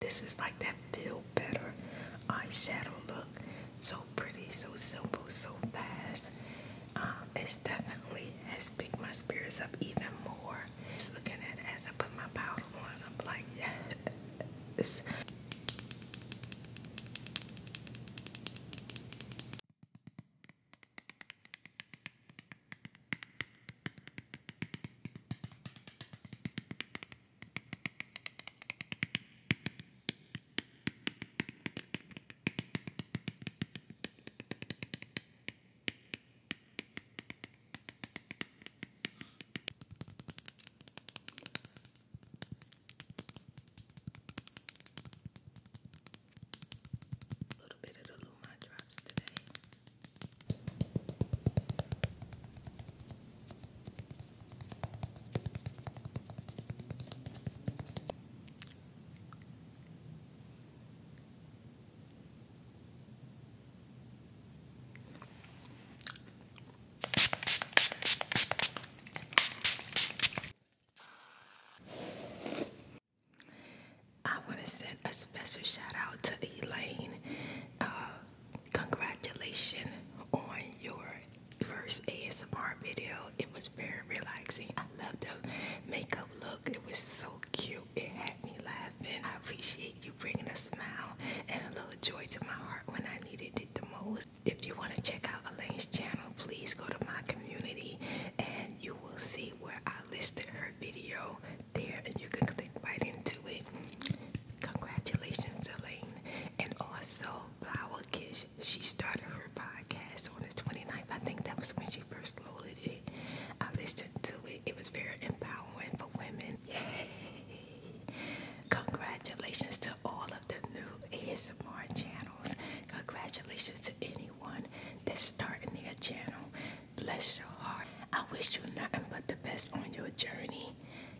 This is like that feel better eyeshadow look. So pretty, so simple, so fast. Um, it's definitely has picked my spirits up even more. Just looking at it as I put my powder on, I'm like, yes. A little bit of the Luma drops today. I want to send a special shout out to Elaine. Uh, Congratulations on your first ASMR video. It was very relaxing. I love the makeup look. It was so cute. It had me laughing. I appreciate you bringing a smile and a little joy to my heart when I needed it the most. If you want to check out Elaine's channel, please go to my community and you will see where I listed her video there and you can click right into it. Congratulations, Elaine. And also, Flower Kish, she started her podcast on the 29th. I think that was when she first loaded it. I listened to it, it was very empowering for women. Yay! Congratulations to all of the new ASMR channels. Congratulations to anyone that's starting their channel. Bless your heart. I wish you nothing but the best on your journey.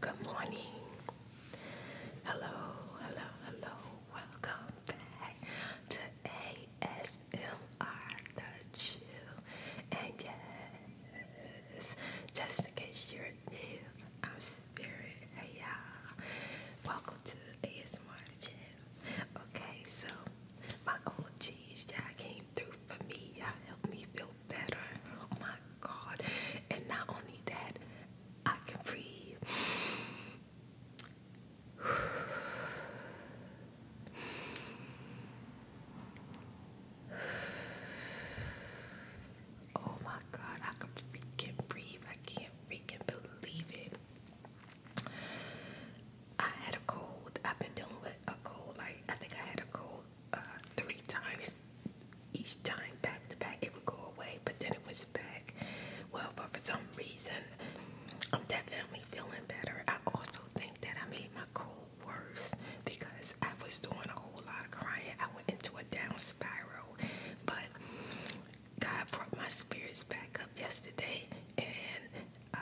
Good morning. Hello, hello, hello. Welcome back to ASMR The Chill. And yes, just in case you're afternoon. I'm Spirit. Hey y'all. Welcome to ASMR channel. Okay, so my OGs, y'all came through for me. Y'all helped me feel better. Oh my god. And not only that, I can breathe. Oh my god, I can freaking breathe. I can't freaking believe it. I had a cold. I've been dealing with a cold. Like I think I had a cold uh, three times. Each time back to back, it would go away, but then it was back. Well, but for some reason, I'm definitely feeling better. I also think that I made my cold worse because I was doing whole lot of crying. I went into a down spiral, but God brought my spirits back up yesterday. And uh,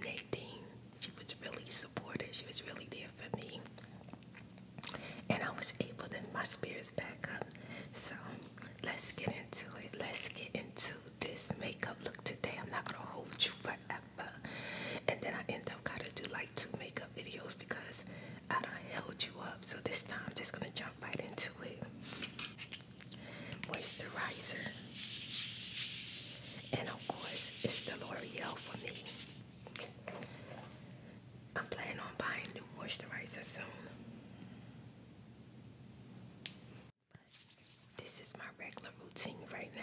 Nadine, she was really supportive. She was really there for me, and I was able to my spirits back up. So let's get into it. Let's get into this makeup look today. I'm not gonna hold you forever. And then I end up gotta do like two makeup videos because I don't held you up, so this time I'm just gonna jump right into it. Moisturizer, and of course, it's the L'Oreal for me. I'm planning on buying new moisturizer soon. This is my regular routine right now.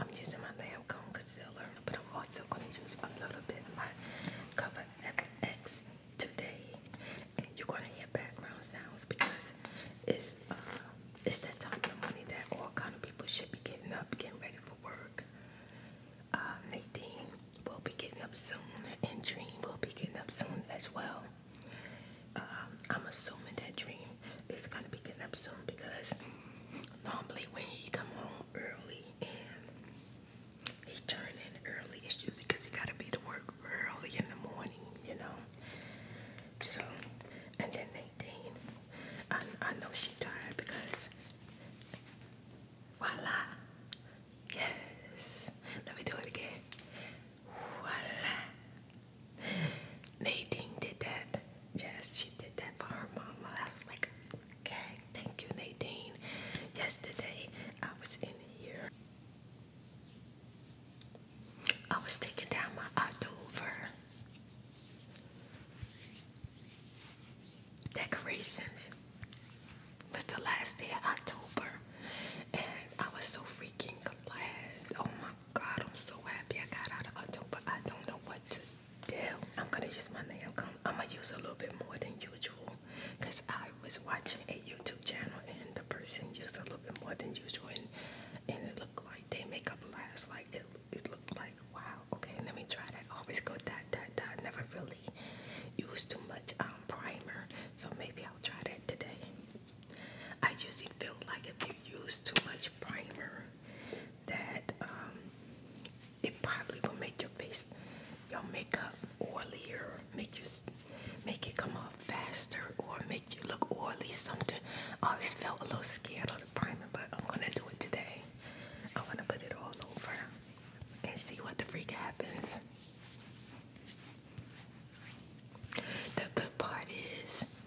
I'm using my damn concealer, but I'm also going to use a little bit of my Cover FX today. you're going to hear background sounds because it's uh, it's that time of the morning that all kind of people should be getting up, getting ready for work uh, Nadine will be getting up soon, and Dream will be getting up soon as well. Um, I'm assuming that Dream is going to be getting up soon because normally when he come home early and he turn in early, it's usually because he got to be to work early in the morning, you know. So, and then Nadine, I, I know she tired because voila, Yes. Let me do it again. Voila. Nadine did that. Yes, she did that for her mama. I was like, okay, thank you, Nadine. Yesterday, I was in here. I was taking down my October decorations was the last day of October, and I was so freaking glad. Oh my God, I'm so happy I got out of October. I don't know what to do. I'm gonna use my nail I'm gonna use a little bit more than usual, cause I was watching a YouTube channel and the person used a little bit more than usual, and and it looked like they makeup lasts like it. It looked like wow. Okay, let me try that. Always go down dot Never really used too much um, primer, so maybe I'll try that today. I usually feel like if you use too much primer, that um, it probably will make your face, your makeup oily, or make you make it come off faster, or make you look oily. Something. I always felt a little scared of the primer, but I'm gonna do it today. I'm gonna put it all over and see what the freak happens. The good part is,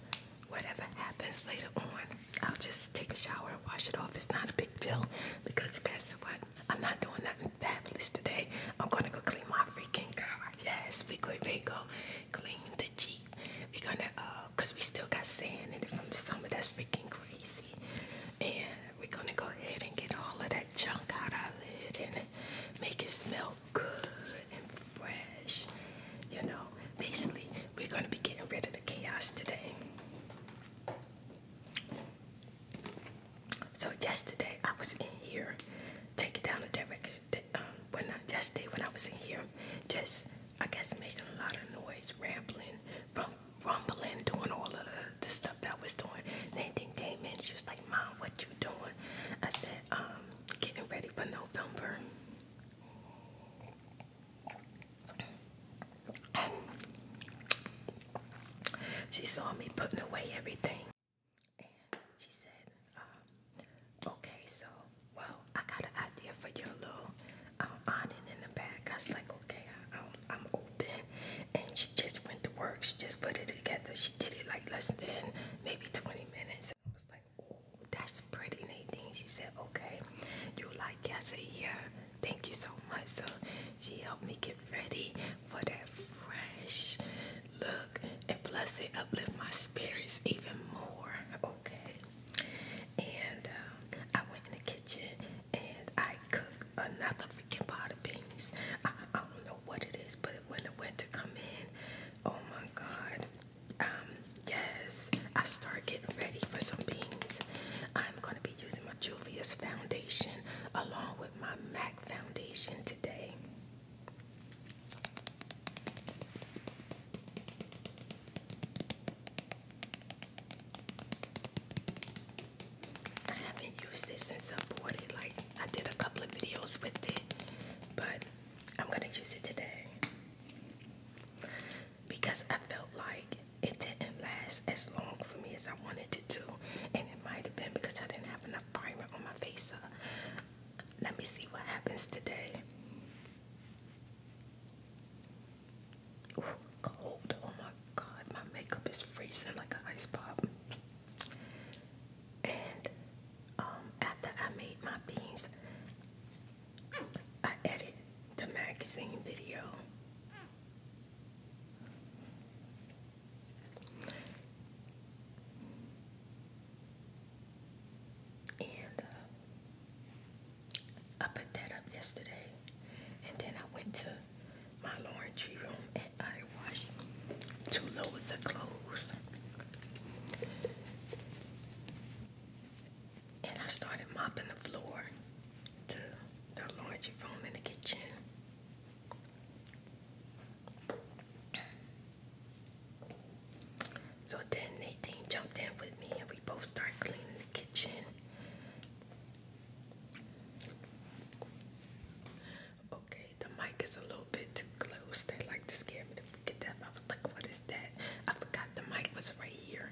whatever happens later on, I'll just take a shower and wash it off. It's not a big deal because guess what? I'm not doing nothing fabulous today. I'm gonna go clean my freaking car. Yes, we going to go clean the Jeep. We're gonna uh, cause we still got sand in it from the summer. That's freaking crazy. And we're going to go ahead and get all of that junk out of here and make it smell good and fresh. You know, basically, we're going to be getting rid of the chaos today. So yesterday I was in here, taking down the director. Um, when I, yesterday when I was in here, just I guess making a lot of noise, rambling rumbling, doing all of the stuff that I was doing. Nadine came in, she was like, Mom, what you doing? I said, um, getting ready for November. She saw me putting away everything. And she said, um, okay, so, well, I got an idea for your little i um, awning in the back. I was like, okay, I'm open and she just went to work. She just put it together. She did it like less than maybe 20 minutes. I was like, oh, that's pretty, Nadine. She said, okay, you like it? I said, yeah, thank you so much. So she helped me get ready for that fresh look. And plus it uplift my spirits even more, okay? And um, I went in the kitchen and I cook another freaking pot of beans. I, don't know what it is, but when the winter come in, oh my god. Um, yes, I start getting ready for some beans. I'm gonna be using my Julius foundation along with my MAC foundation today. I haven't used this since I bought it. Like I did a couple of videos with it, but I'm gonna use it today because I felt like it didn't last as long for me as I wanted it to, and it might have been because I didn't have enough primer on my face. So let me see what happens today. cold! Oh my god, my makeup is freezing like an ice pop. And um, after I made my beans, I edited the magazine video. And uh, I put up yesterday, and then I went to my laundry room and I washed two loads of clothes. And I started mopping the floor to the laundry room in the kitchen. So then Nadine jumped in with me and we both started cleaning the kitchen. Okay, the mic is a little bit too close. They like to scare me to get that. I was like, what is that? I forgot the mic was right here.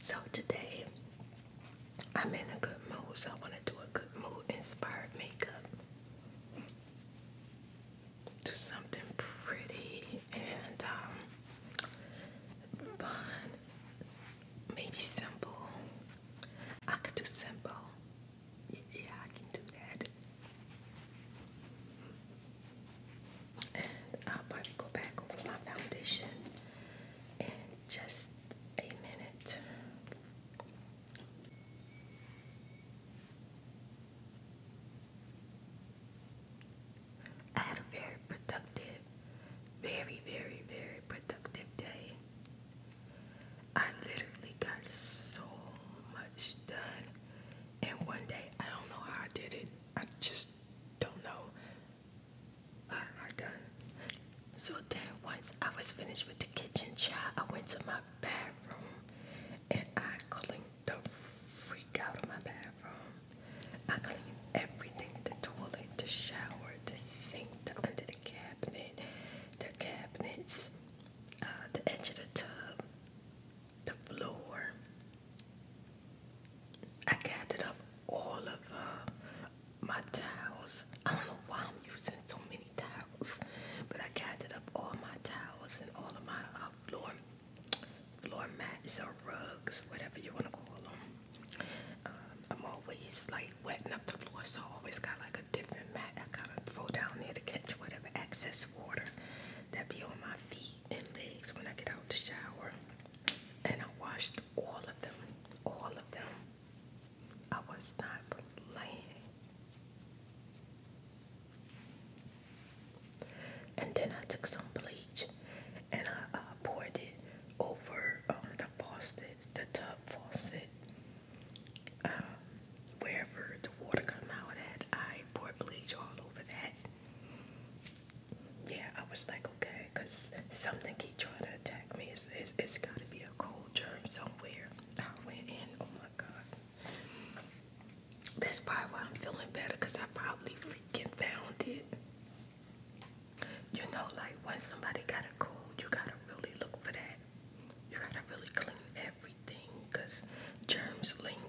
So today I'm in a good mood, so I want to do a good mood inspired makeup. Do something pretty and um, fun, maybe simple. I could do simple, yeah, I can do that. I'll go back over my foundation in just a minute. I had a very productive, very, very, very productive day. I literally got so much done. And one day, I don't know how I did it. I just don't know. I, I done. So then once I was finished with the kitchen job, I went to my bathroom and I cleaned the freak out of my bathroom. I cleaned everything, the toilet, the shower, the sink, the under the cabinet, the cabinets, uh, the edge of the tub, the floor. I gathered up all of uh, my towels. I don't know why I'm using so many towels, but I gathered up all my towels and all of my uh, floor floor mats or rugs, whatever you want to call them. Um, I'm always like wetting up the floor, so I always got like a different mat. I kind of throw down there to catch whatever excess water that be on my feet and legs when I get out the shower. And I washed all of them, all of them. I was not playing. And then I took some bleach and I uh, poured it over um, the faucet, the tub faucet. Um, wherever the water come out at, I pour bleach all over that. Yeah, I was like, okay, because something keep trying to attack me. it's, it's got to be a cold germ somewhere. I went in, oh my God. That's probably why I'm feeling better, because I probably freaking found it. You know, like when somebody got a cold, you got to really look for that. You gotta really clean everything because germs linger.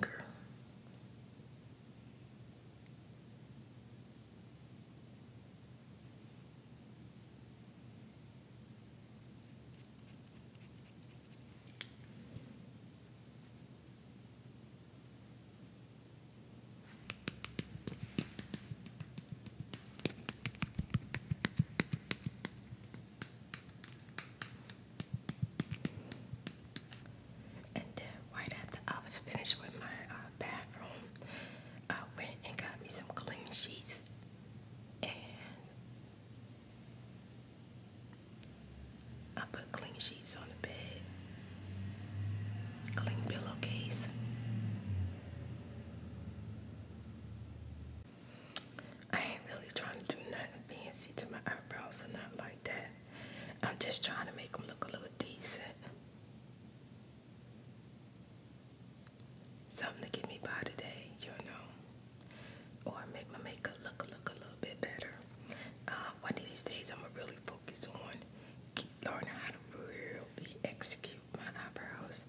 And then right after I was finished with my uh, bathroom, I went and got me some clean sheets and I put clean sheets on the bed, clean pillowcase. I ain't really trying to do nothing fancy to my eyebrows or nothing like that. I'm just trying to make them look a little decent. Something to get me by today, you know. Or make my makeup look look a little bit better. Uh, one of these days I'm gonna really focus on learning how to really execute my eyebrows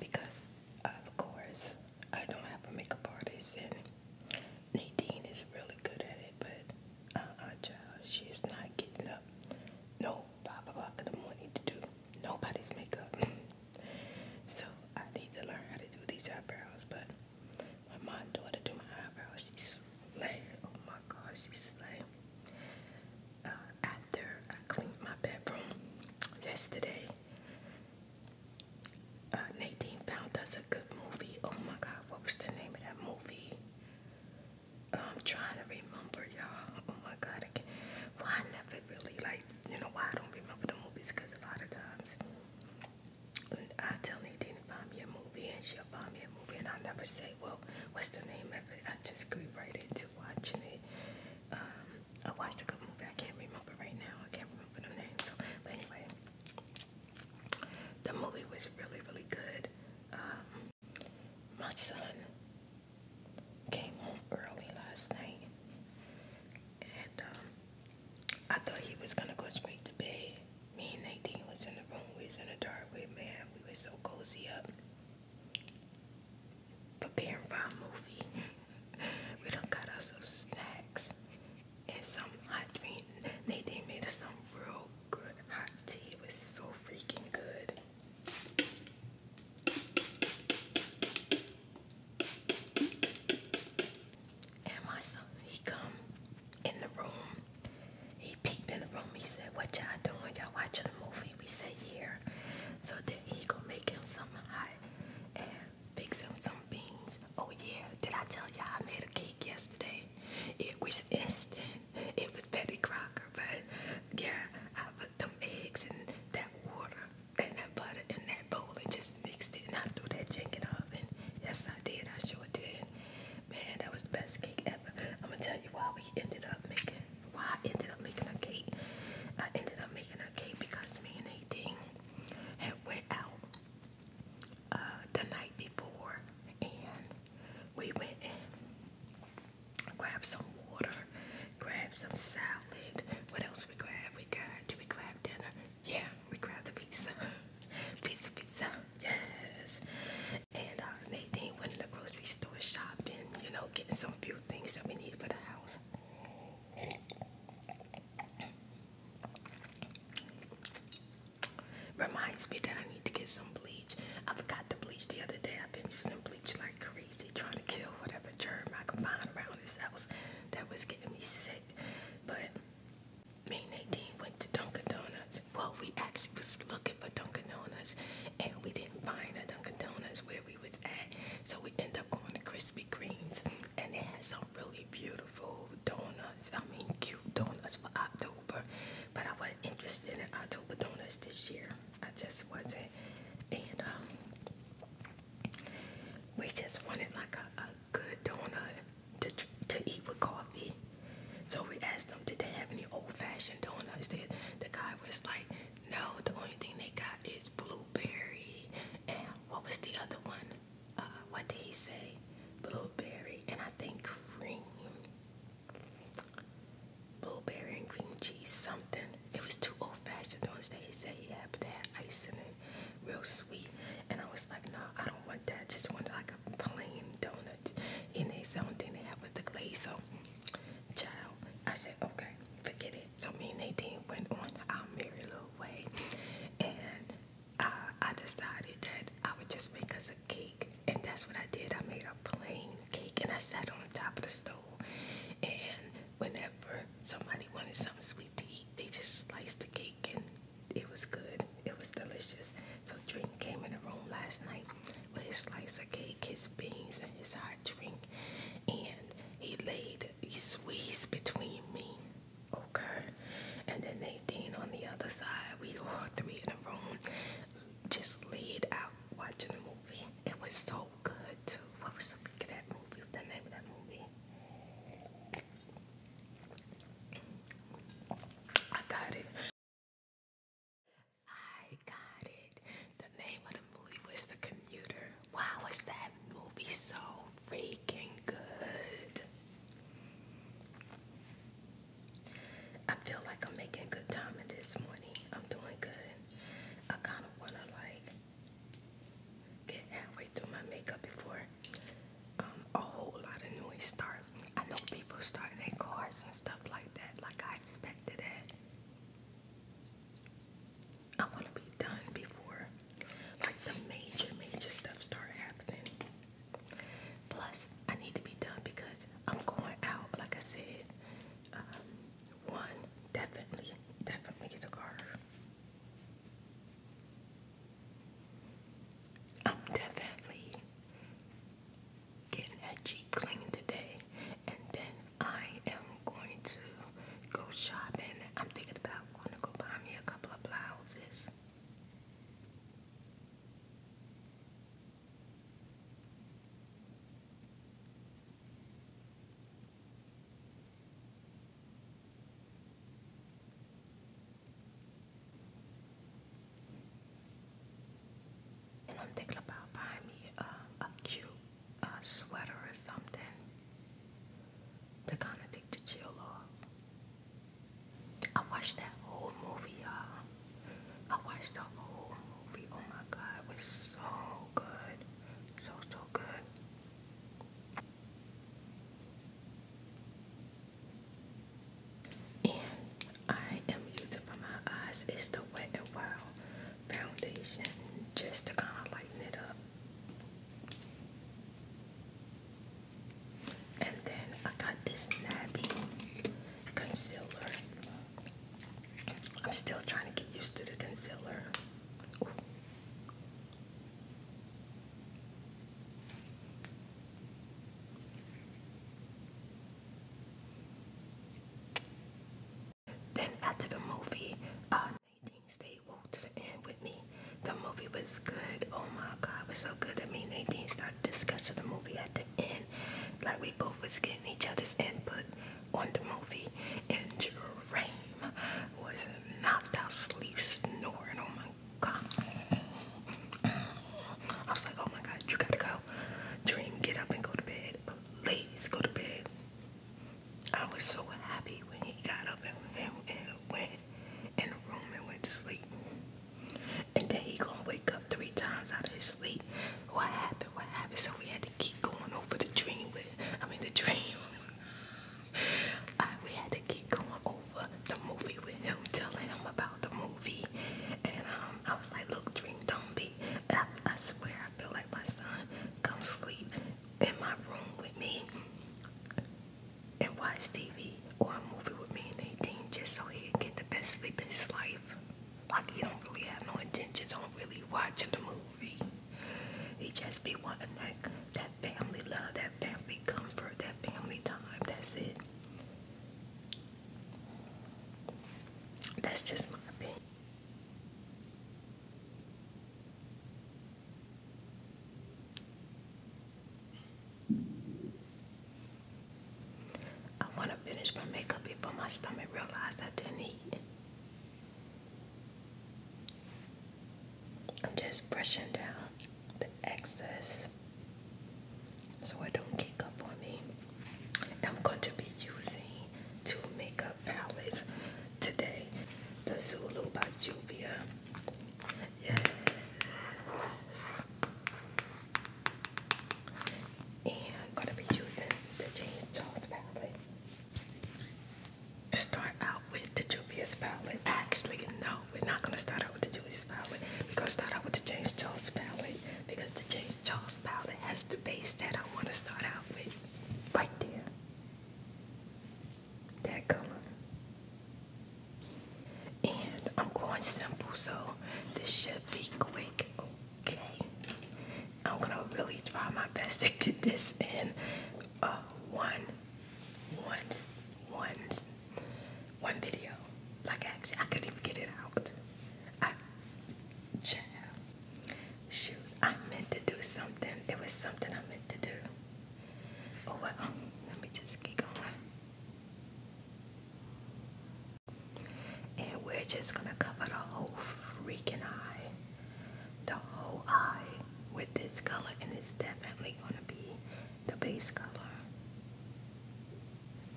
because of course I don't have a makeup artist, Nadine is really good at it, but uh-uh, child, she is not getting up no five o'clock in the morning to do nobody's makeup. so I need to learn how to do these eyebrows, but my mom daughter do my eyebrows. She's slay. Oh my god, she's slay. Uh, after I cleaned my bedroom yesterday, Nate uh, Nadine found us a good movie. Oh my God, what was the name of that movie? I'm trying to remember, y'all. Oh my God, I well, I never really like, you know, why I don't remember the movies because a lot of times I tell Nate Nadine to find me a movie and she'll find me a movie and I never say, well, what's the name of it? I just go right into watching it. Um, I watched a good movie. I can't remember right now. I can't remember the name. So, but anyway, the movie was really, really good. Um, my son came home early last night, and um, I thought he was gonna go straight to bed. Me and Nadine was in the room. We was in the dark with man. We were so cozy up, preparing for a movie. we done got us some snacks and some hot drink. They, they made us some real good hot tea. It was so freaking good. And my son, he come in the room. He peeped in the room. He said, what y'all doing? Y'all watching a movie? We said, yeah. So then he go make him some hot. And Fixing some beans. Oh yeah, did I tell you I made a cake yesterday? It was instant. It was Betty Crocker, but yeah, I put them eggs in that water and that butter in that bowl and just mixed it and I threw that jink in the oven. Yes I did, I sure did. Man, that was the best cake ever. I'm gonna tell you why we ended up making why I ended up making a cake. I ended up making a cake because me and Nadine had had went out uh, the night before, and we went and grabbed some water, grabbed some salad. What else we grab? We got did we grab dinner? Yeah, we grabbed the pizza. pizza, pizza, yes. And uh, Nadine went in the grocery store shopping, you know, getting some few things that we need for the house. Reminds me that I need to get some bleach. I forgot the bleach the other day. I've been using bleach like crazy, trying to kill whatever germ I could find around this house that was getting me sick. But me and Nadine went to Dunkin' Donuts. Well, we actually was looking for Dunkin' Donuts, and we didn't find a Dunkin' Donuts where we was at. So we end up going to Krispy Krispy Kremes, and it has some really beautiful donuts. I mean, cute donuts for October, but I wasn't interested in October donuts this year. I just wasn't, and um, we just wanted like a, a good donut to to eat with coffee. So we asked them, did they have any old-fashioned donuts? They, the guy was like, no. The only thing they got is blueberry and what was the other one? Uh, what did he say? Blueberry and I think cream. Blueberry and cream cheese, something. It was too old fashioned the ones he said he had, but they had ice in it, real sweet. And I was like, no, nah, I don't want that. just wanted like a plain donut. And they said, only thing they had was the glaze. So, child, I said, okay, forget it. So me and Nadine went on our merry little way, and uh, I decided that I would just make us a cake, and that's what I did. I made a plain cake, and I sat on the top of the stove, and whenever somebody wanted something sweet to eat, they just sliced the cake, and it was good. It was delicious. So drink came in the room last night with his slice of cake, his beans, and his hot drink, and he laid his squeezed between me Okay. And then Nadine on the other side. We all three in the room just laid out watching the movie. It was so good too. What was the of that movie? the name of that movie? I got it. I got it. The name of the movie was The Commuter. Wow, is that movie so freaking good? I feel like I'm making good time in this morning. I'm doing good. I kind of want to like get halfway through my makeup before um, a whole lot of noise start. I know people starting their cars and stuff like that. Like I expected that. I want to be done before like the major, major stuff start happening. Plus, I need to be done because I'm going out. Like I said, um, one definitely, definitely is a car. I'm definitely getting that clean today, and then I am going to go shopping. I'm thinking about going to go buy me a couple of blouses. And I'm thinking about buying me a cute uh, sweater or something to kind of take the chill off. I watched that whole movie, y'all. I watched the whole movie. Oh my God, it was so good. So, so good. And I am using for my eyes. It's the Wet n Wild Foundation just to kind of lighten it up. And then I got this Nabby concealer. I'm still trying to get used to the concealer. Then after the movie, uh, Nadine stayed woke to the end with me. The movie was good. Oh my God, it was so good. I mean, didn't start discussing the movie at the end. Like we both was getting each other's input on the movie. And Dream was not out sleep snoring. Oh my God. I was like, oh my God, you gotta go. Dream, get up and go to bed. Please go to bed. I was so happy when he got up and, and, and went in the room and went to sleep. And then he gonna wake up three times out of his sleep. What happened? What happened? So we had to keep going over the dream with, I mean the dream. I, uh, we had to keep going over the movie with him, telling him about the movie. And um, I was like, look, dream, don't be. I, swear, I feel like my son come sleep in my room with me and watch TV or a movie with me and anything just so he can get the best sleep in his life. Like he don't really have no intentions on really watching the movie. He just be wanting that, that family love, that family comfort, that family time. That's it. That's just my opinion. I want to finish my makeup before my stomach realized I didn't eat. I'm just brushing down the excess so it don't kick up on me. I'm going to be using two makeup palettes today. The Zulu by Juvia. Yes. And gonna be using the James Charles palette. Start out with the Juvia's palette. Actually, no, we're not gonna start out with the Juvia's palette. We're gonna start out with the James Charles palette because the James Charles palette has the base that I wanna start out with. Right there that color. And I'm going simple, so this should be quick, okay? I'm gonna really try my best to get this in uh, one, video. Like actually, I couldn't even get it out. I, shoot, I meant to do something. It was something I meant to do. Oh well, let me just get going. And we're just gonna cover the whole freaking eye, the whole eye with this color, and it's definitely gonna be the base color.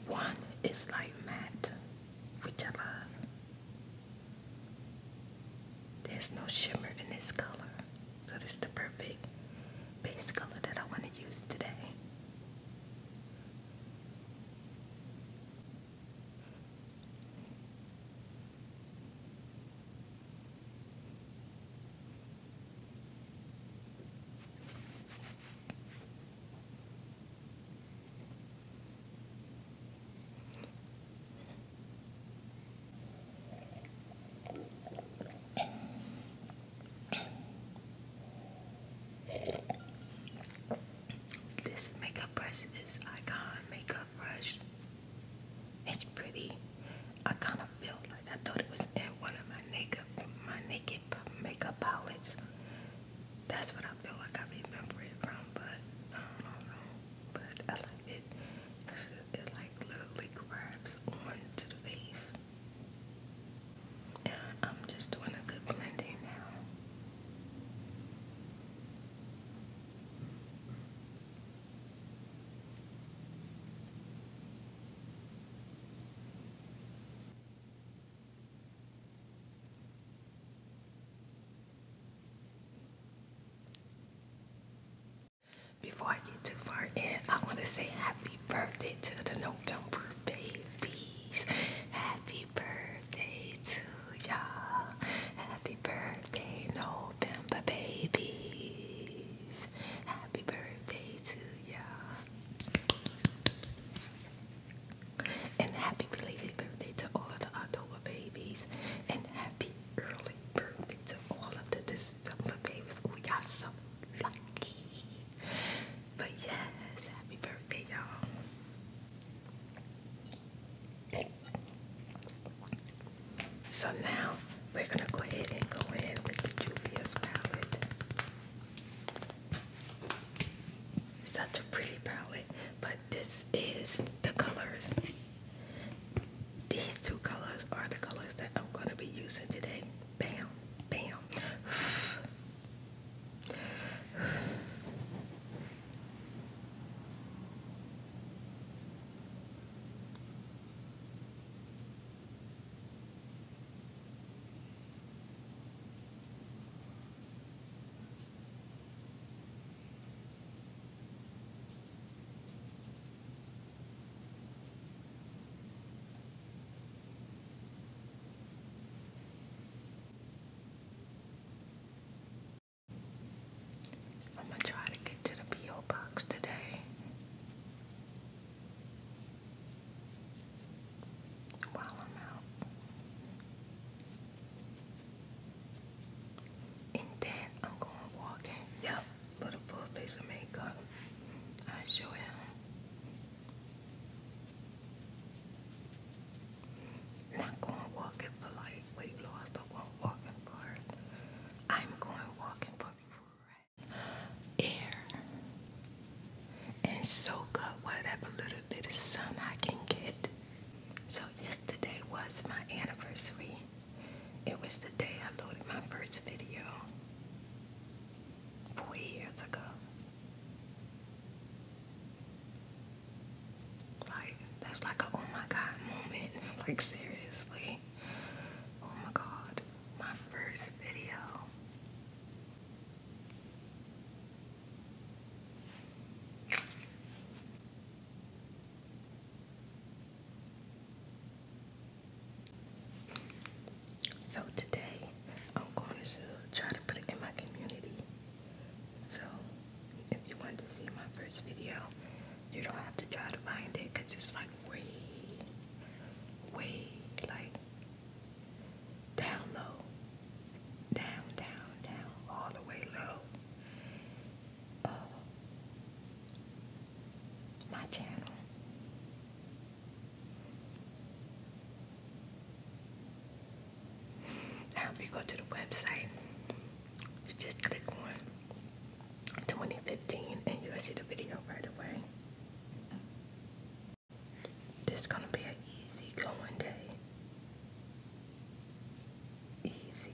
One is like matte, which I love. There's no shimmer in this color. So this is the perfect base color that I want to use today. This makeup brush is Icon Makeup Brush. It's pretty. I kind of feel like I thought it was in one of my naked, my naked makeup palettes. That's what I feel like I remember it from, but I don't know but I like it because it, like literally grabs onto the face. And I'm just doing a good blending now. Before I get too far in, I want to say happy birthday to the November babies. Happy birthday to ya! Happy birthday, November babies. Happy birthday to ya! And happy belated birthday to all of the October babies. And happy, early birthday to all of the December babies. Oh, y'all so lucky. But yes, happy birthday, y'all. So now we're gonna go ahead and go in with the Julius palette. Such a pretty palette, but this is the colors. These two colors are the colors that I'm going to be using today. Bam, bam. I'm going to try to get to the P.O. box today. While I'm out. And then I'm going walking. Yep, but a full face of makeup, I show am. Not going walking for like weight loss, not going walking for it. I'm going walking for fresh air and soak up whatever little bit of sun I can get. So yesterday was my anniversary. It was the day I loaded my first video four years ago. Like, that's like a oh my god moment. Like, seriously. Oh my god, my first video. So today I'm going to try to put it in my community. So if you want to see my first video, you don't have to try to find it because it's like way, way like down low. Down, down, down, all the way low. Uh, my channel. if you go to the website, just click on 2015 and you'll see the video right away. This is gonna be an easy day. Easy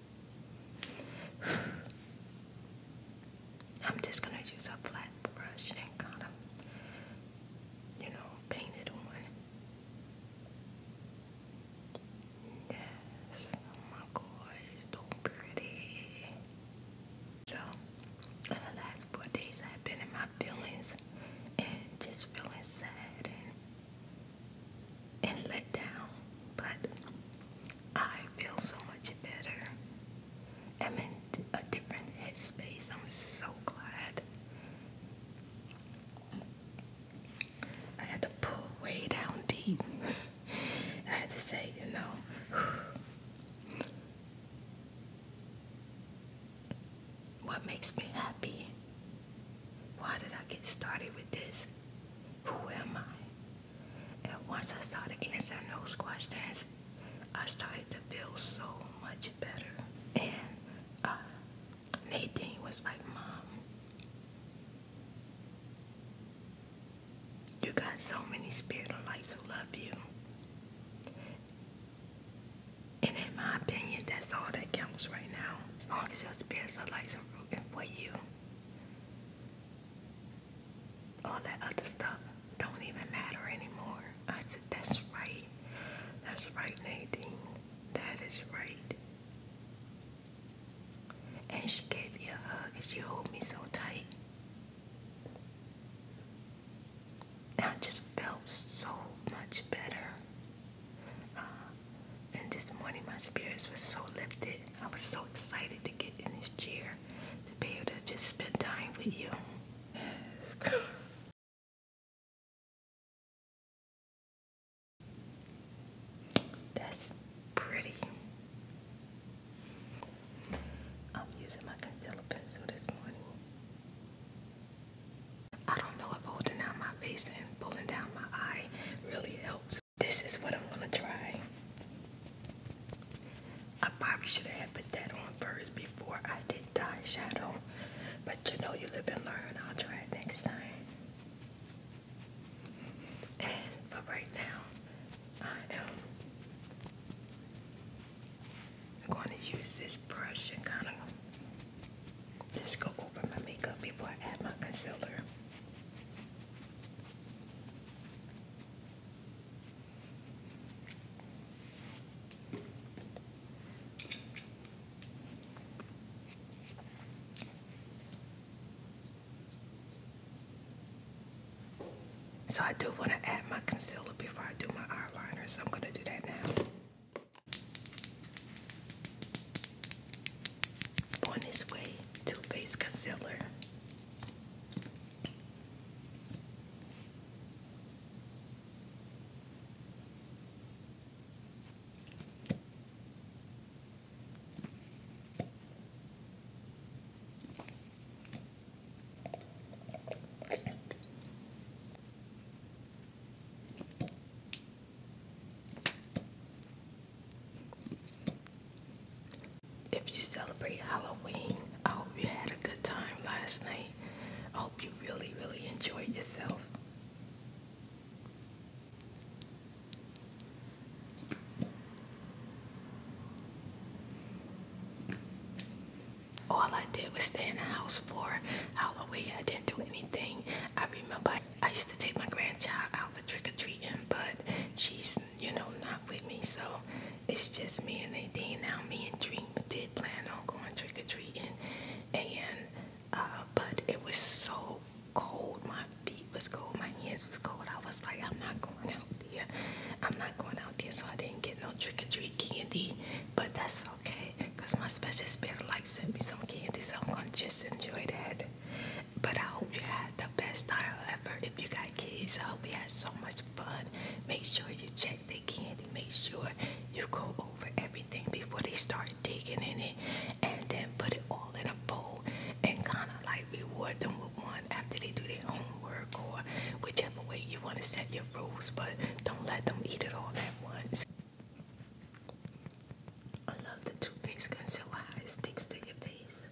I'm just gonna use a flat brush and kind of, you know, paint it on. Yes, oh my god, it's so pretty. So, in the last four days, I've been in my feelings and just feeling sad and let down, but I feel so much better. I'm in a different headspace. I'm so glad. I had to pull way down deep. I had to say, you know, what makes me happy? Why did I get started with this? who am I? And once I started answering those questions, I started to feel so much better. And uh, Nadine was like, Mom, you got so many spiritual lights who love you. And in my opinion, that's all that counts right now. As long as your spiritual lights and for you, all that other stuff don't even matter anymore. I said, that's right. That's right, Nadine. That is right. And she gave me a hug she held me so tight. I just felt so much better. Uh, and this morning, my spirits were so lifted. I was so excited to get in this chair to be able to just spend time with you. Yes. That's pretty. I'm using my concealer pencil this morning. I don't know if holding down my face and pulling down my eye really helps. This is what I'm gonna try. I probably should have put that on first before I did the shadow, but you know you live and learn. I'll try it next time. And but right now, I am going to use this brush and kind of just go over my makeup before I add my concealer. So I do want to add my concealer before I do my eyeliner, so I'm going to do that now. On this way. Too Faced Concealer. If you celebrate Halloween, I hope you had a good time last night. I hope you really, really enjoyed yourself. All I did was stay in the house for Halloween. I didn't do anything. I remember I I, used to take my grandchild out for trick or treating, but she's, you know, not with me. So it's just me and Nadine now. Me and Dream did plan on going trick or treating, and uh, but it was so cold. My feet was cold. My hands was cold. I was like, I'm not going out there. I'm not going out there. So I didn't get no trick or treat candy, but that's okay, cause my special spirit like sent me some candy, so I'm gonna just enjoy that. But I hope you had the best time ever. If you got kids, I hope you had so much fun. Make sure you check their candy. Make sure you go over everything before they start digging in it. And then put it all in a bowl and kind of like reward them with one after they do their homework or whichever way you want to set your rules. But don't let them eat it all at once. I love the toothpaste concealer, how it sticks to your face.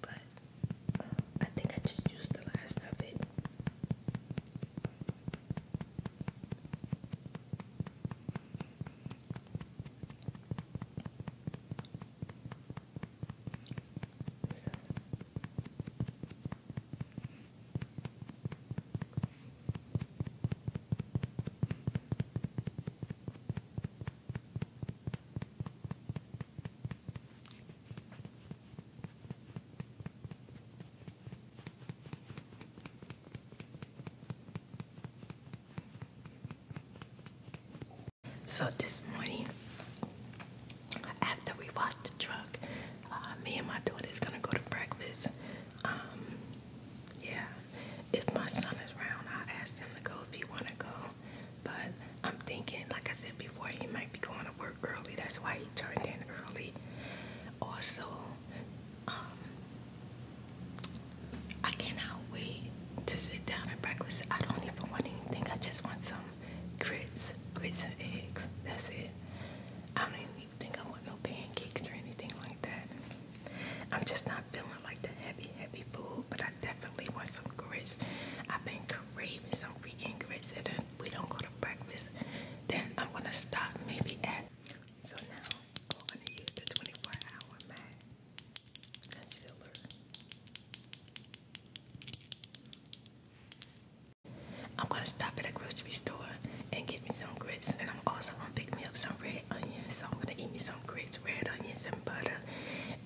But uh, I think I just used the last of it. So. So this morning, after we watch the truck, uh, me and my daughter is gonna go to breakfast. Um, yeah, if my son is around, I'll ask him to go if he want to go. But I'm thinking, like I said before, he might be going to work early. That's why he turned in early. Also, um, I cannot wait to sit down at breakfast. I don't even want anything. I just want some grits, grits and eggs. That's it. I don't even think I want no pancakes or anything like that. I'm just not feeling like the heavy, heavy food, but I definitely want some grits. I've been craving some freaking grits, and then we don't go to breakfast. Then I'm gonna stop maybe at. So now I'm gonna use the 24 hour matte concealer. I'm gonna stop at a grocery store and get me some grits, and I'm also gonna pick me up some red onions. So I'm gonna eat me some some red onions, and butter,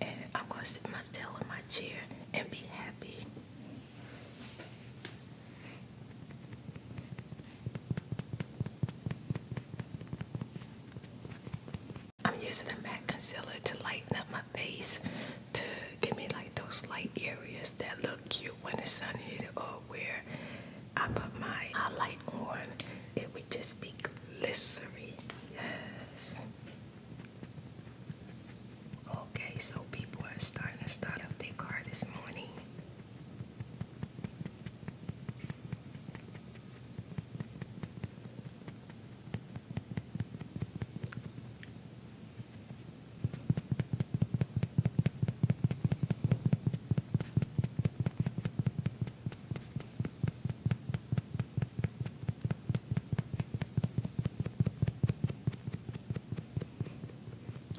and I'm gonna sit myself in my chair and be happy. I'm using a matte concealer to lighten up my face to give me like those light areas that look cute when the sun hit it or where I put my highlight white it would just be glycerin. Yes. Okay, so people are starting to start up their car this morning.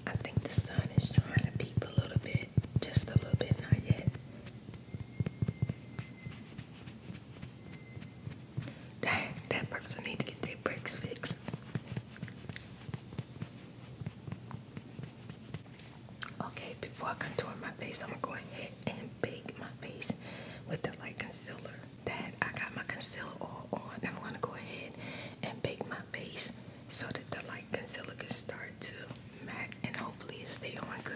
I think the sun is trying to peep a little bit, just a little bit, not yet. That that person need to get their brakes fixed. Okay, before I contour my face, I'm gonna go ahead and bake my face with the light concealer. That I got my concealer all on. I'm gonna go ahead and bake my face so that the light concealer can start to matte and hopefully it stay on good.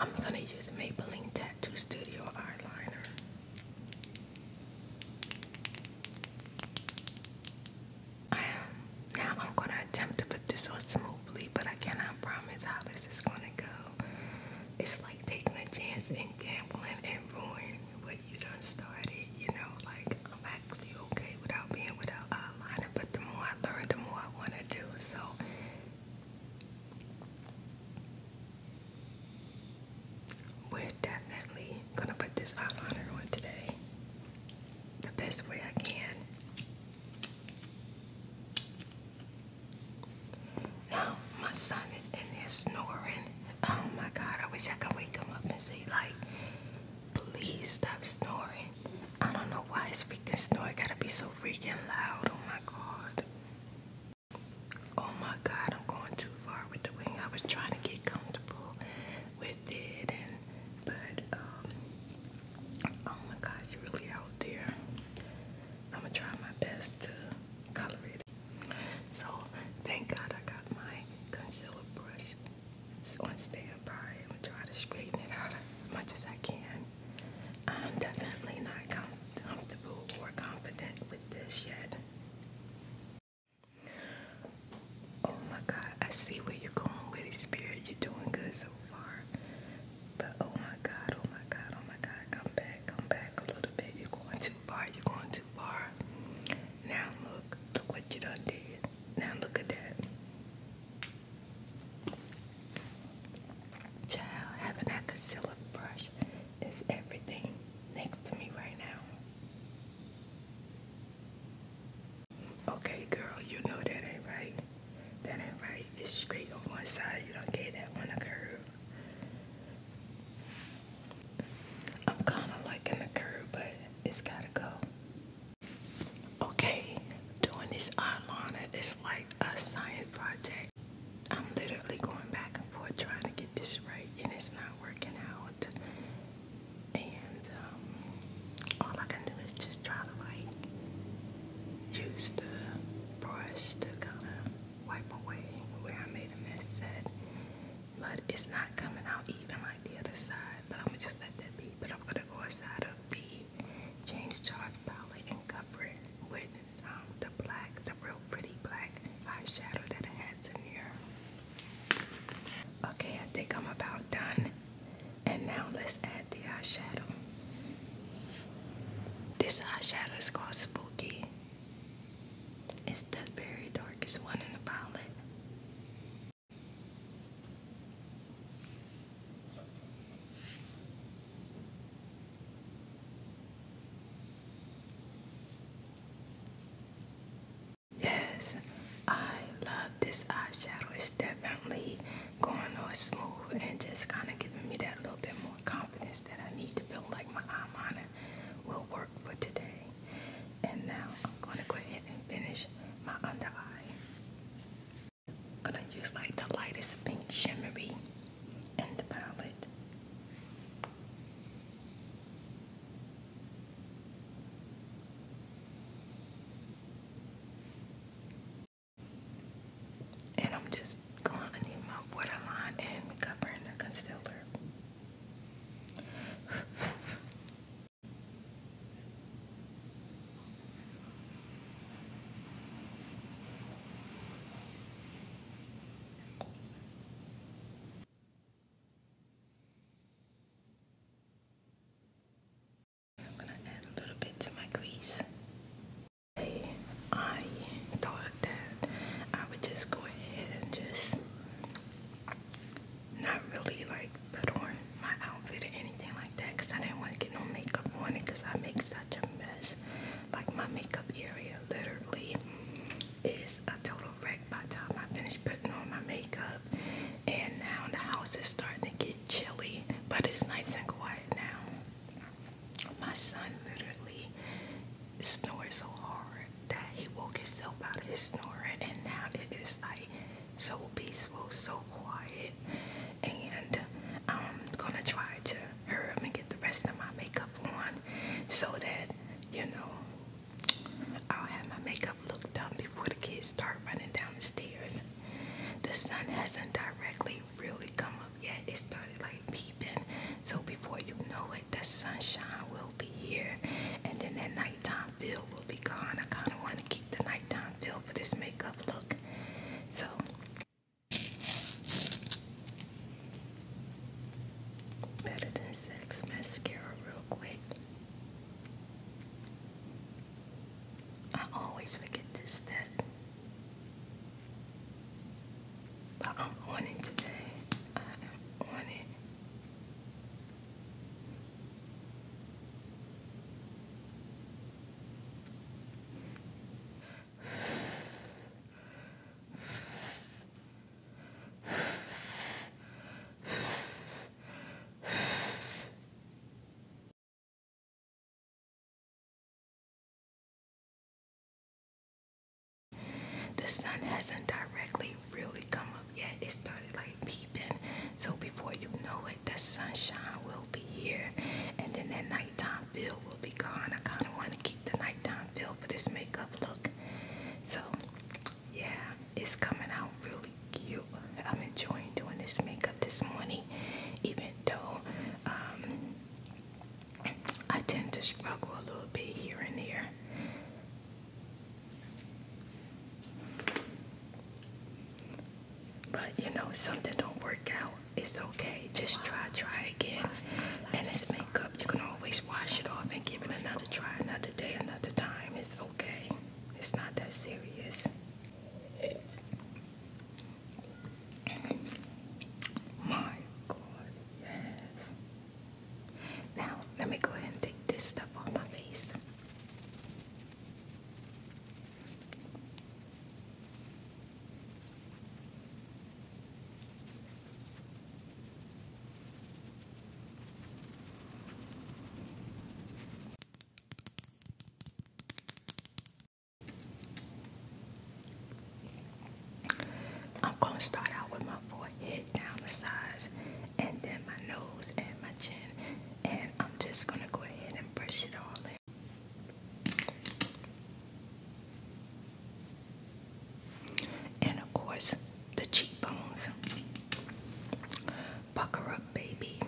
I'm gonna use Maybelline Tattoo Studio eyeliner. I am, now I'm gonna attempt to put this on smoothly, but I cannot promise how this is gonna go. It's like taking a chance and gambling and ruining what you done started. You know, like I'm actually okay without being without eyeliner, but the more I learn, the more I wanna do. So we're definitely gonna put this eyeliner on today the best way I can. Now, my son is in there snoring. Oh my god, I wish I could wake him up and say, like, please stop snoring. I don't know why his freaking snore gotta be so freaking loud. Oh my god. Oh my God, I'm going too far with the wing. I was trying to get comfortable with it, and but um, oh my God, you're really out there. I'm gonna try my best to color it. So thank God I got my concealer brush on standby. I'm gonna try to straighten it out as much as I can. I'm definitely not comfortable or confident with this yet. Oh my God, I see where you're going, Lady Spirit. You're doing good so far. But oh my God, oh my God, oh my God, come back, come back a little bit. You're going too far, you're going too far. Now look, look what you done did. Now look at that. Child, having that concealer brush is everything next to me right now. Okay, girl, you know that ain't right. That ain't right. It's straight on one side. You don't get that one a curve. I'm kind of liking the curve, but it's gotta go. Okay, doing this eyeliner is like a science project. I'm literally going back and forth trying to get this right, and it's not working out. And um, all I can do is just try to like use the brush to kind of wipe away where I made a mess at. But it's not coming out even like the other side. But I'm gonna just let that be. But I'm gonna go inside of the James Charles palette and cover it with um, the black, the real pretty black eyeshadow that it has in here. Okay, I think I'm about done. And now let's add the eyeshadow. This eyeshadow is called Spooky. It's the very darkest one in the palette. Yes, I love this eyeshadow. It's definitely going on smooth and just kind of giving me that little bit more confidence that I need to build. like my eye eyeliner will work for today. And now I'm going to go ahead and finish my under eye. I'm going to use like the lightest pink shimmery and the palette. And I'm just going underneath my borderline and covering the concealer. I'm gonna add a little bit to my grease. I thought that I would just go ahead and just not really like put on my outfit or anything like that because I didn't want to get no makeup on it because I make such a mess like my makeup area literally is a total wreck by the time I finish putting on my makeup and now the house is starting to get chilly but it's nice and quiet now. My son literally snores so hard that he woke himself out of his snoring and now it is like so peaceful, so quiet and I'm gonna try to hurry up and get the rest of my makeup on so that, you know, I'll have my makeup look done before the kids start running down the stairs. The sun hasn't directly really come up yet. It started like peeping. So before you know it, the sunshine will be here. And then that nighttime feel will be gone. I kind of want to keep the nighttime feel for this makeup look. So Better Than Sex mascara real quick. I always forget this step. But I'm on it today. I am on it. The sun hasn't directly really come up yet. It started like peeping. So before you know it, the sunshine will be here. And then at night nighttime feel will be gone. I kind of want to keep the nighttime feel for this makeup look. So, yeah, it's coming out really cute. I'm enjoying doing this makeup this morning, even though um, I tend to struggle a little bit here and there. But you know, something don't work out it's okay. Just try, try again. And it's makeup. You can always wash it off and give it another try, another day, another time. It's okay. It's not that serious. My God, yes. Now, let me go ahead and take this stuff off my face. I'm going to start out with my forehead down the sides and then my nose and my chin, and I'm just going to go ahead and brush it all in. And of course, the cheekbones. Pucker up, baby.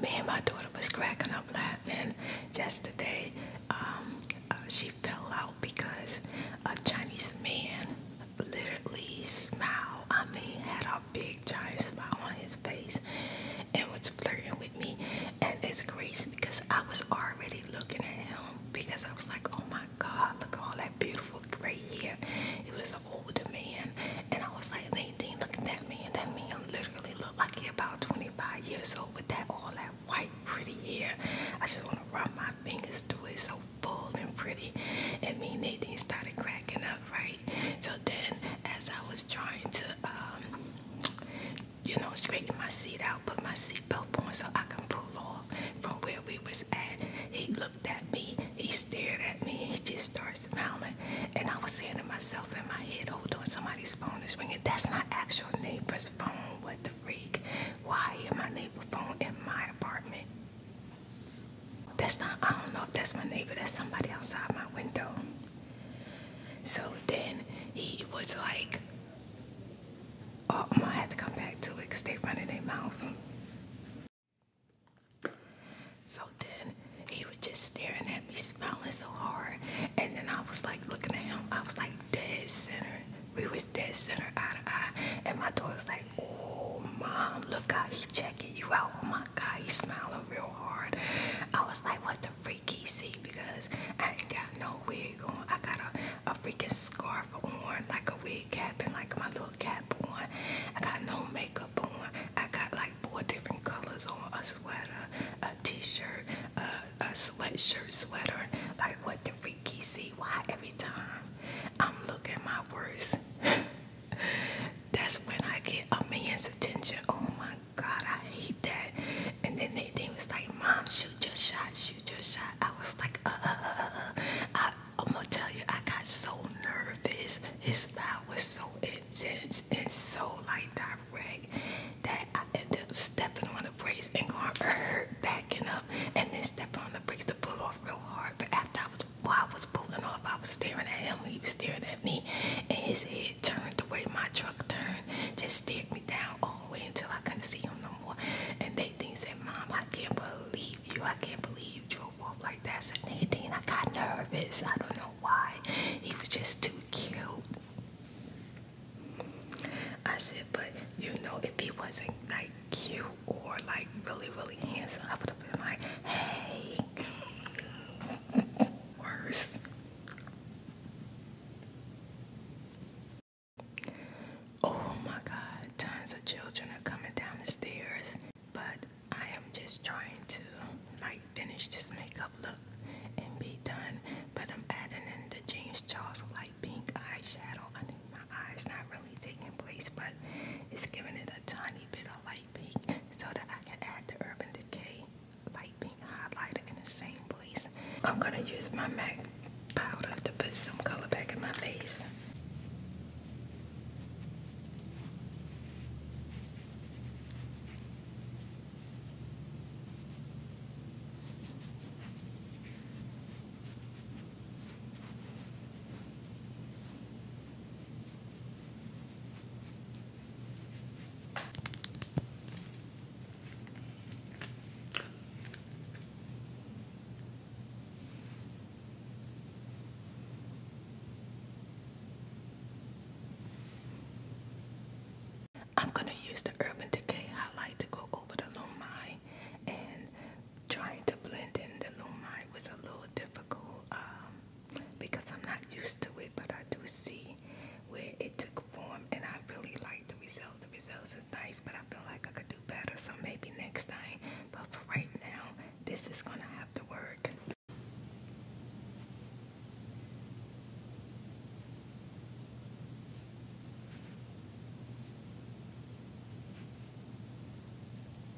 Me and my daughter was cracking up laughing yesterday. Um, uh, she fell out because a Chinese man literally smiled. I mean, had big giant smile on his face and was flirting with me. And it's crazy because I was already looking at him because I was like, oh my God, look at all that beautiful gray hair. It was an older man. And I was like, Nadine, look at that man. That man literally looked like he about 25 years old with that all that white pretty hair. I just want to rub my fingers through it so full and pretty. And me and Nadine started cracking up right? So then, as I was trying to, um, you know, straighten my seat out, put my seatbelt on so I can pull off from where we was at, he looked at me, he stared at me, he just starts smiling, and I was saying to myself in my head, hold on, somebody's phone is ringing. That's my actual neighbor's phone. What the freak? Why is my neighbor phone in my apartment? That's not, I don't know if that's my neighbor, that's somebody outside my window. So then he was like, Oh, i had to come back to it because they running their mouth. So then he was just staring at me, smiling so hard. And then I was like looking at him. I was like dead center. We was dead center eye to eye. And my daughter was like, oh, mom, look out! he checking you out on oh, god, he's smiling real hard. I was like, what the freaky see? Because I ain't got no wig on. I got a, a freaking scarf on, like a wig cap and like my little cap on. I got no makeup on. I got like four different colors on a sweater, a t-shirt, a, sweatshirt, sweater. Like what the freaky see? Why every time I'm looking my worst? that's when I get a man's attention. Oh my God, I hate that. And then they, they was like, Mom, shoot just shot, shoot just shot. I was like, uh, uh, uh, uh. uh. I, I'm gonna tell you, I got so nervous. His smile was so intense and so like direct that I ended up stepping on the brakes and going, er, backing up, and then stepping on the brakes to pull off real hard. But after I was while I was pulling off, I was staring at him. He was staring at me, and his head turned the way my truck turned. Just stared me down all the way until I couldn't see him no more. And they think said, "Mom, I can't believe you. I can't believe you drove off like that." I said, "Nadine, I got nervous. I don't know why. He was just too cute." I said, "But you know, if he wasn't like cute or like really, really handsome, I would have been like, hey." Worse. Oh my God, tons of children are coming down the stairs, but I am just trying to like finish this makeup look and be done. But I'm adding in the James Charles light pink eyeshadow. I think my eye's not really taking place, but it's giving it a tiny bit of light pink so that I can add the Urban Decay light pink highlighter in the same place. I'm gonna use my MAC powder to put some color back in my face. I'm going to use the Urban Decay highlight to go over the Lumai and trying to blend in the Lumai was a little difficult um, because I'm not used to it, but I do see where it took form and I really like the results. The results is nice, but I feel like I could do better, so maybe next time. But for right now, this is gonna have to work.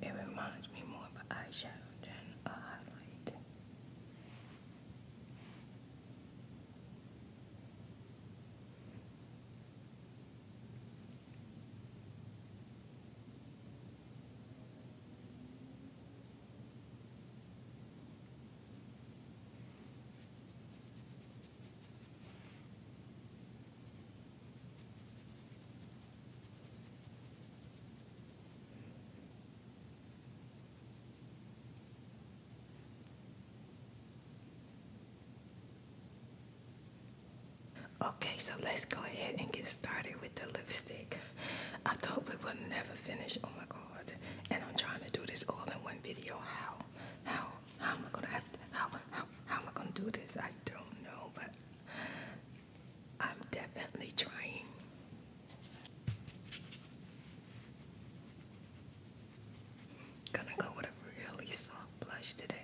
It reminds me more of eyeshadow than a highlight. Okay, so let's go ahead and get started with the lipstick. I thought we would never finish. Oh my God. And I'm trying to do this all in one video. How? How? How am I gonna have to, how, how how am I gonna do this? I don't know, but I'm definitely trying. Gonna go with a really soft blush today.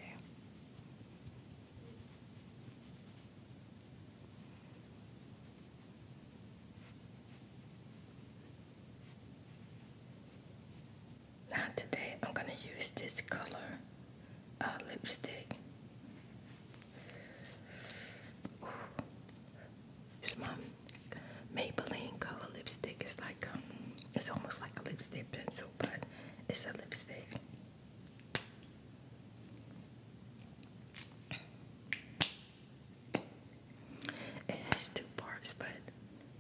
Now today I'm going to use this color uh, lipstick. Ooh. It's Maybelline color lipstick. It's like um, it's almost like a lipstick pencil, but it's a lipstick. It has two parts, but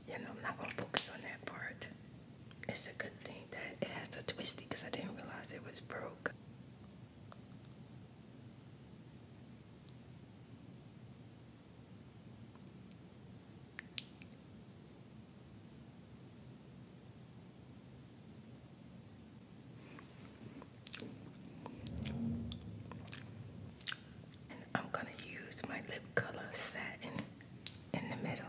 you know, I'm not going to focus on that part. It's a good thing that it has a twisty because I didn't realize it was broke. And I'm going to use my lip color satin in the middle.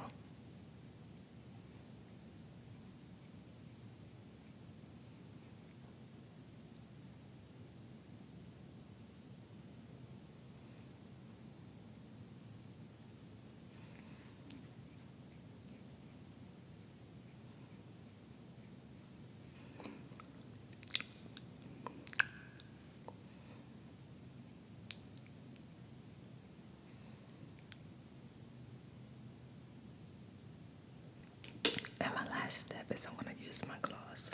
And my last step is I'm going to use my gloss.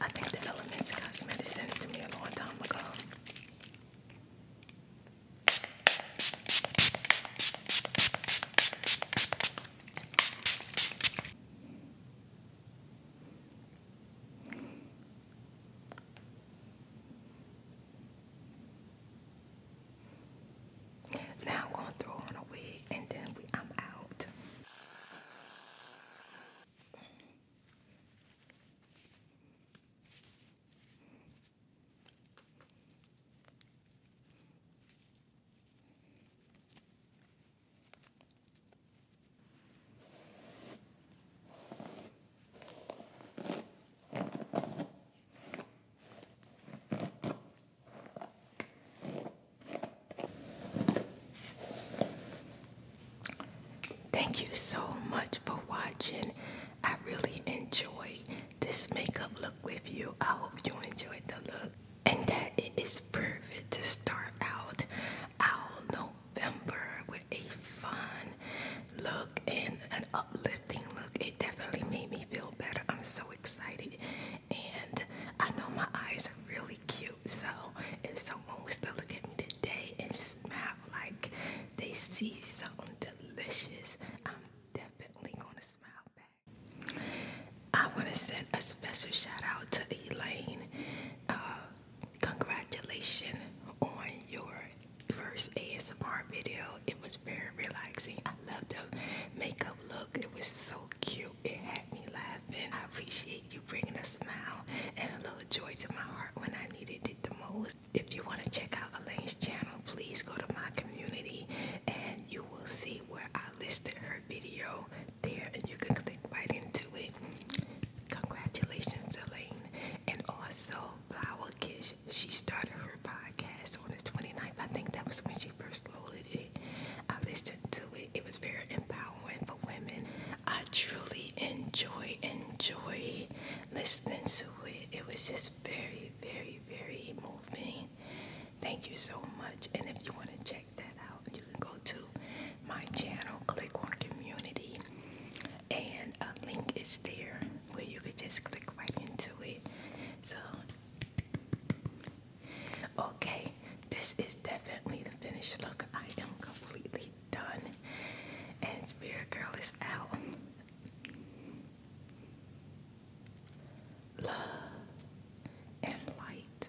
I think the Elements Cosmetic sent it to me a long time ago. Now I'm going to throw on a wig and then I'm out. Thank you so much for watching. I really enjoyed this makeup look with you. I hope you enjoyed the look and that it is perfect to start out. I'll no November with a fun look and an uplifting look. It definitely made me feel better. I'm so excited. And I know my eyes are really cute. So if someone was to look at me today and smile like they see something delicious, I'm definitely going to smile back. I want to send a special shout out to Elaine. Uh, congratulations on your first ASMR video. It was very relaxing. I loved the makeup look. It was so cute. It had me laughing. I appreciate you bringing a smile and a little joy to my heart when I needed it the most. If you want to check out Elaine's channel, please go to my community and you will see where I listed her video there and you can click right into it Congratulations, Elaine. And also, Flower Kish, she started her podcast on the 29th. I think that was when she first loaded it. I listened to it. It was very empowering for women. I truly enjoy, enjoy listening to it. It was just very, very, very moving. Thank you so much. And if you want to check that out, you can go to my channel, click on community and a link is there where you could just click right into it. So, okay, this is definitely the finished look. I am completely done, and Spirit Girl is out. Love and light.